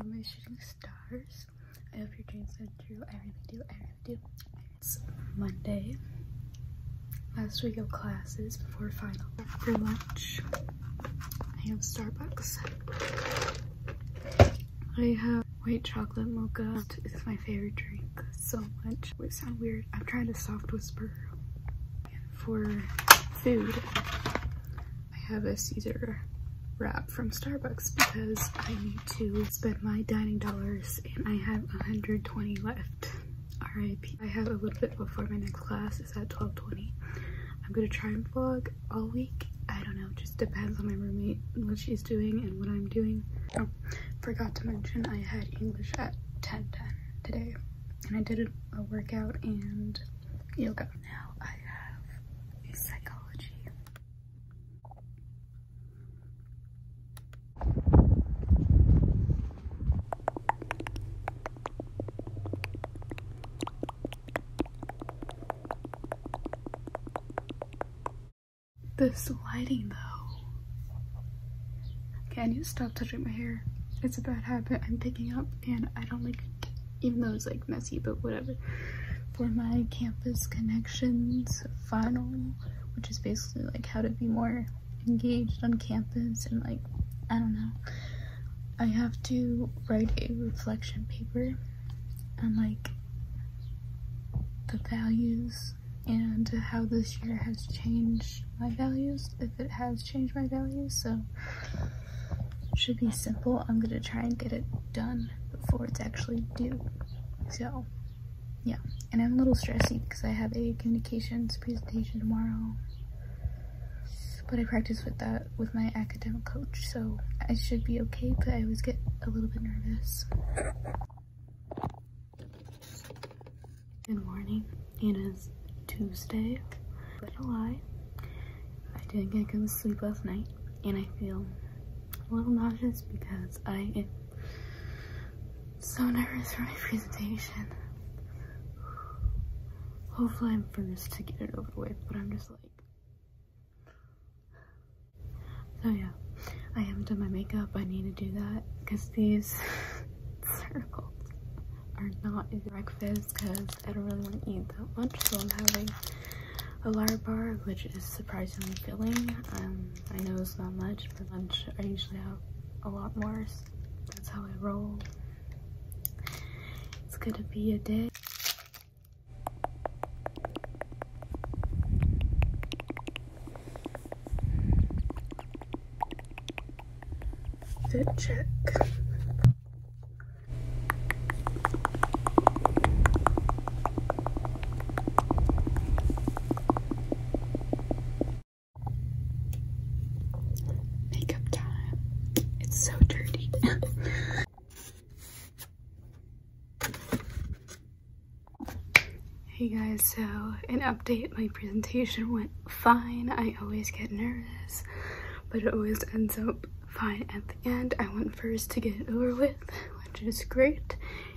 I'm shooting stars. I hope your dreams come true. I really do. I really do. It's Monday. Last week of classes before finals. For lunch, I have Starbucks. I have white chocolate mocha. It's my favorite drink so much. It sounds weird. I'm trying to soft whisper for food, I have a Caesar wrap from Starbucks because I need to spend my dining dollars and I have 120 left. RIP. I have a little bit before my next class. is at 12.20. I'm gonna try and vlog all week. I don't know, just depends on my roommate and what she's doing and what I'm doing. Oh, forgot to mention I had English at 10.10 today and I did a workout and yoga. Now I have a psychology. This lighting though, can you stop touching my hair. It's a bad habit I'm picking up, and I don't like even though it's like messy, but whatever. For my campus connections final, which is basically like how to be more engaged on campus and like, I don't know. I have to write a reflection paper on like the values and how this year has changed my values if it has changed my values so should be simple i'm gonna try and get it done before it's actually due so yeah and i'm a little stressy because i have a communications presentation tomorrow but i practice with that with my academic coach so i should be okay but i always get a little bit nervous good morning it is Tuesday. Not lie, I didn't get good sleep last night, and I feel a little nauseous because I am so nervous for my presentation. Hopefully I'm finished to get it over with, but I'm just like... So yeah, I haven't done my makeup. I need to do that because these circles are not breakfast because I don't really want to eat that much, so I'm having a large bar, which is surprisingly filling. Um, I know it's not much, but lunch I usually have a lot more. that's how I roll. It's gonna be a day. Fit check. Makeup time. It's so dirty. hey guys, so an update. My presentation went fine. I always get nervous, but it always ends up fine at the end. I went first to get over with, which is great.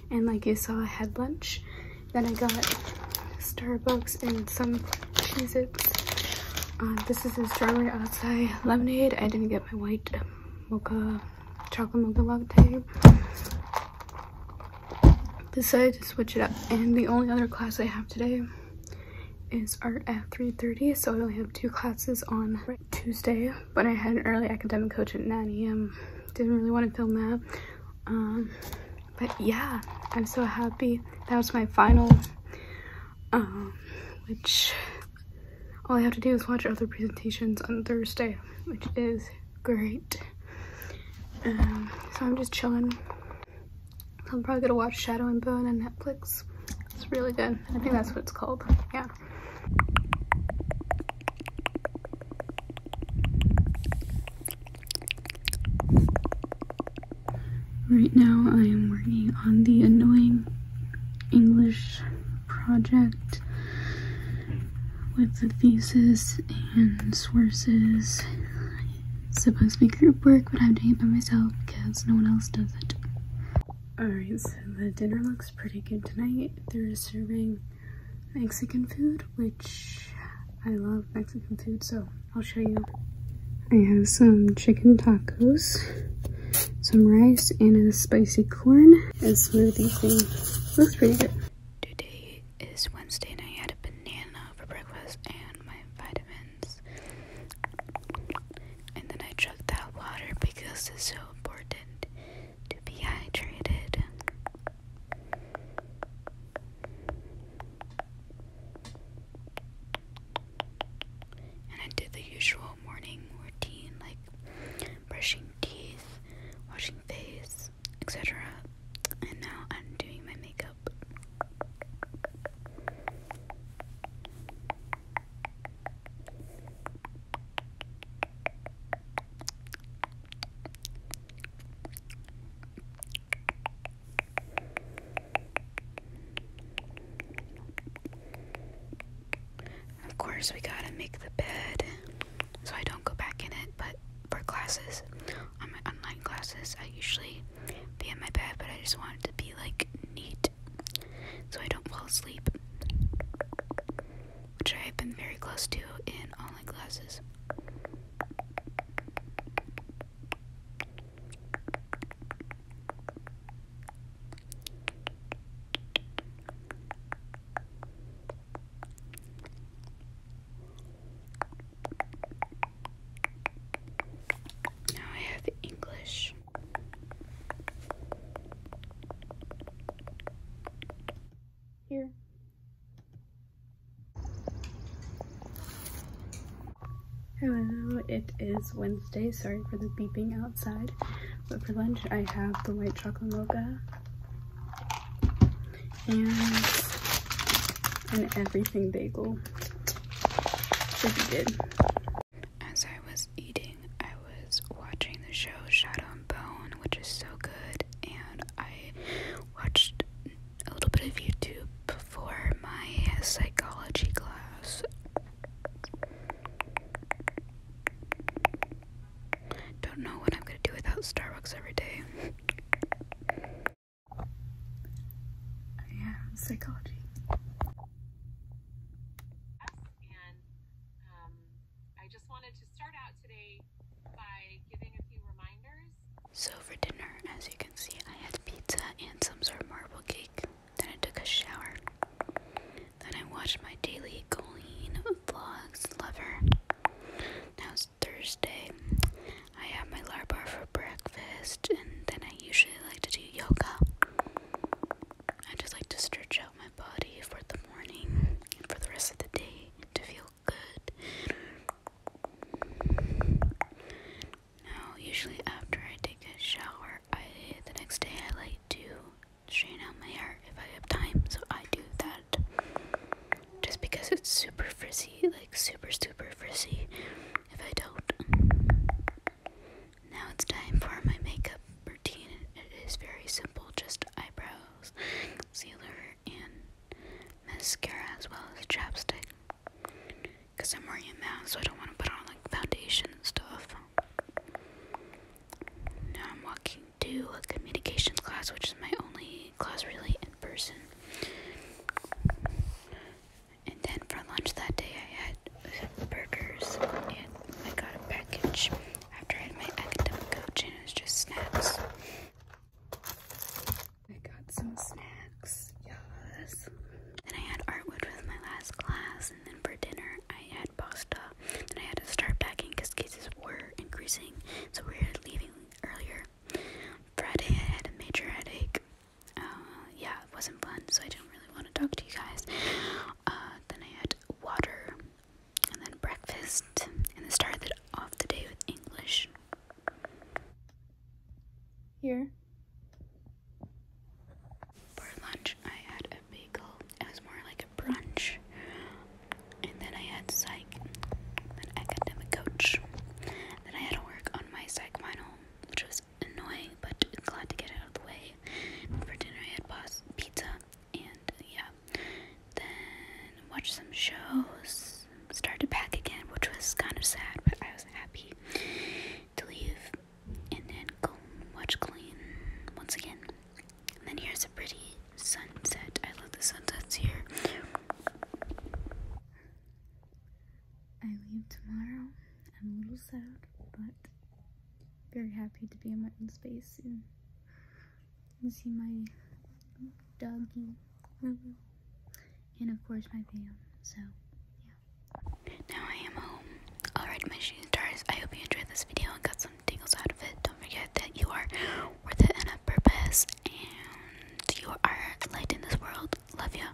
And like you saw, I had lunch. Then I got Starbucks and some Cheez-Its. Um, this is a strawberry acai lemonade. I didn't get my white mocha, chocolate mocha latte. Decided to switch it up. And the only other class I have today is art at 3.30, so I only have two classes on Tuesday, but I had an early academic coach at 9 a.m. Didn't really want to film that. Um, but yeah, I'm so happy. That was my final, um, which all I have to do is watch other presentations on Thursday, which is great. Um, so I'm just chilling. I'm probably gonna watch Shadow and Bone on Netflix. It's really good. I think that's what it's called. Yeah. Right now I am working on the annoying English project with the thesis and sources supposed to be group work, but I'm doing it by myself because no one else does it. Alright, so the dinner looks pretty good tonight. They're serving Mexican food, which I love Mexican food, so I'll show you. I have some chicken tacos, some rice, and a spicy corn and smoothie thing. Looks pretty good. Today is Wednesday and I had a banana for breakfast and my vitamins and then I chug that water because it's so important to be hydrated. And I did the usual morning routine like brushing teeth, washing face, etc. And now I'm doing my makeup. Of course, we gotta make the bed so I don't go back in it, but for classes, on my online classes, I usually be in my bed, but I just want it to be like neat so I don't fall asleep, which I've been very close to in online classes. Now I have English. Here. Hello, it is Wednesday. Sorry for the beeping outside. But for lunch, I have the white chocolate mocha and an everything bagel. Should be good. As I was eating, I was watching the show Shadow and Bone, which is so good, and I watched a little bit of YouTube before my psychology class. Don't know what I'm gonna do without Starbucks every day. I am psychology. Um, I just wanted to start out today by giving a few reminders. So, for dinner, as you can see, I had pizza and some sort of marble cake. Then I took a shower. Then I watched my daily Colleen vlogs lover. Now it's Thursday. I had my Larabar for breakfast, and then I. I usually like to do yoga. I just like to stretch out my body for the morning and for the rest of the day to feel good. Now, usually after I take a shower, I the next day I like to straighten out my hair if I have time, so I do that. Just because it's super frizzy, like super super frizzy. If I don't, now it's time for my makeup routine. It is very simple, just eyebrows, concealer, and mascara as well as chapstick. Because I'm wearing a mask, so I don't want to put on like foundation and stuff. Now I'm walking to a communications class, which is my only class really in person. And then for lunch that day, I had burgers and I got a package after I had my academic coach, and it was just snacks. I got some snacks, yes. Then I had art, with my last class, and then for dinner, I had pasta. And I had to start packing because cases were increasing, so we were leaving earlier. Friday, I had a major headache. Uh, yeah, it wasn't fun, so I didn't really want to talk to you guys. Uh, then I had water, and then breakfast, and I started off the day with English. Here. For lunch, I had a bagel. It was more like a brunch. And then I had psych, an academic coach. Then I had to work on my psych final, which was annoying, but glad to get out of the way. For dinner, I had pasta, pizza, and yeah. Then watch some shows. Started back again, which was kind of sad, but I was happy to leave. And then go watch Clean once again. And then here's a pretty sunset. I love the sunsets here. I leave tomorrow. I'm a little sad, but very happy to be in my own space and, see my doggy, and of course my fam. So, yeah. Now I am home. Alright, my shooting stars, I hope you enjoyed this video and got some tingles out of it. Don't forget that you are worth it and a purpose, and you are light in this world. Love you.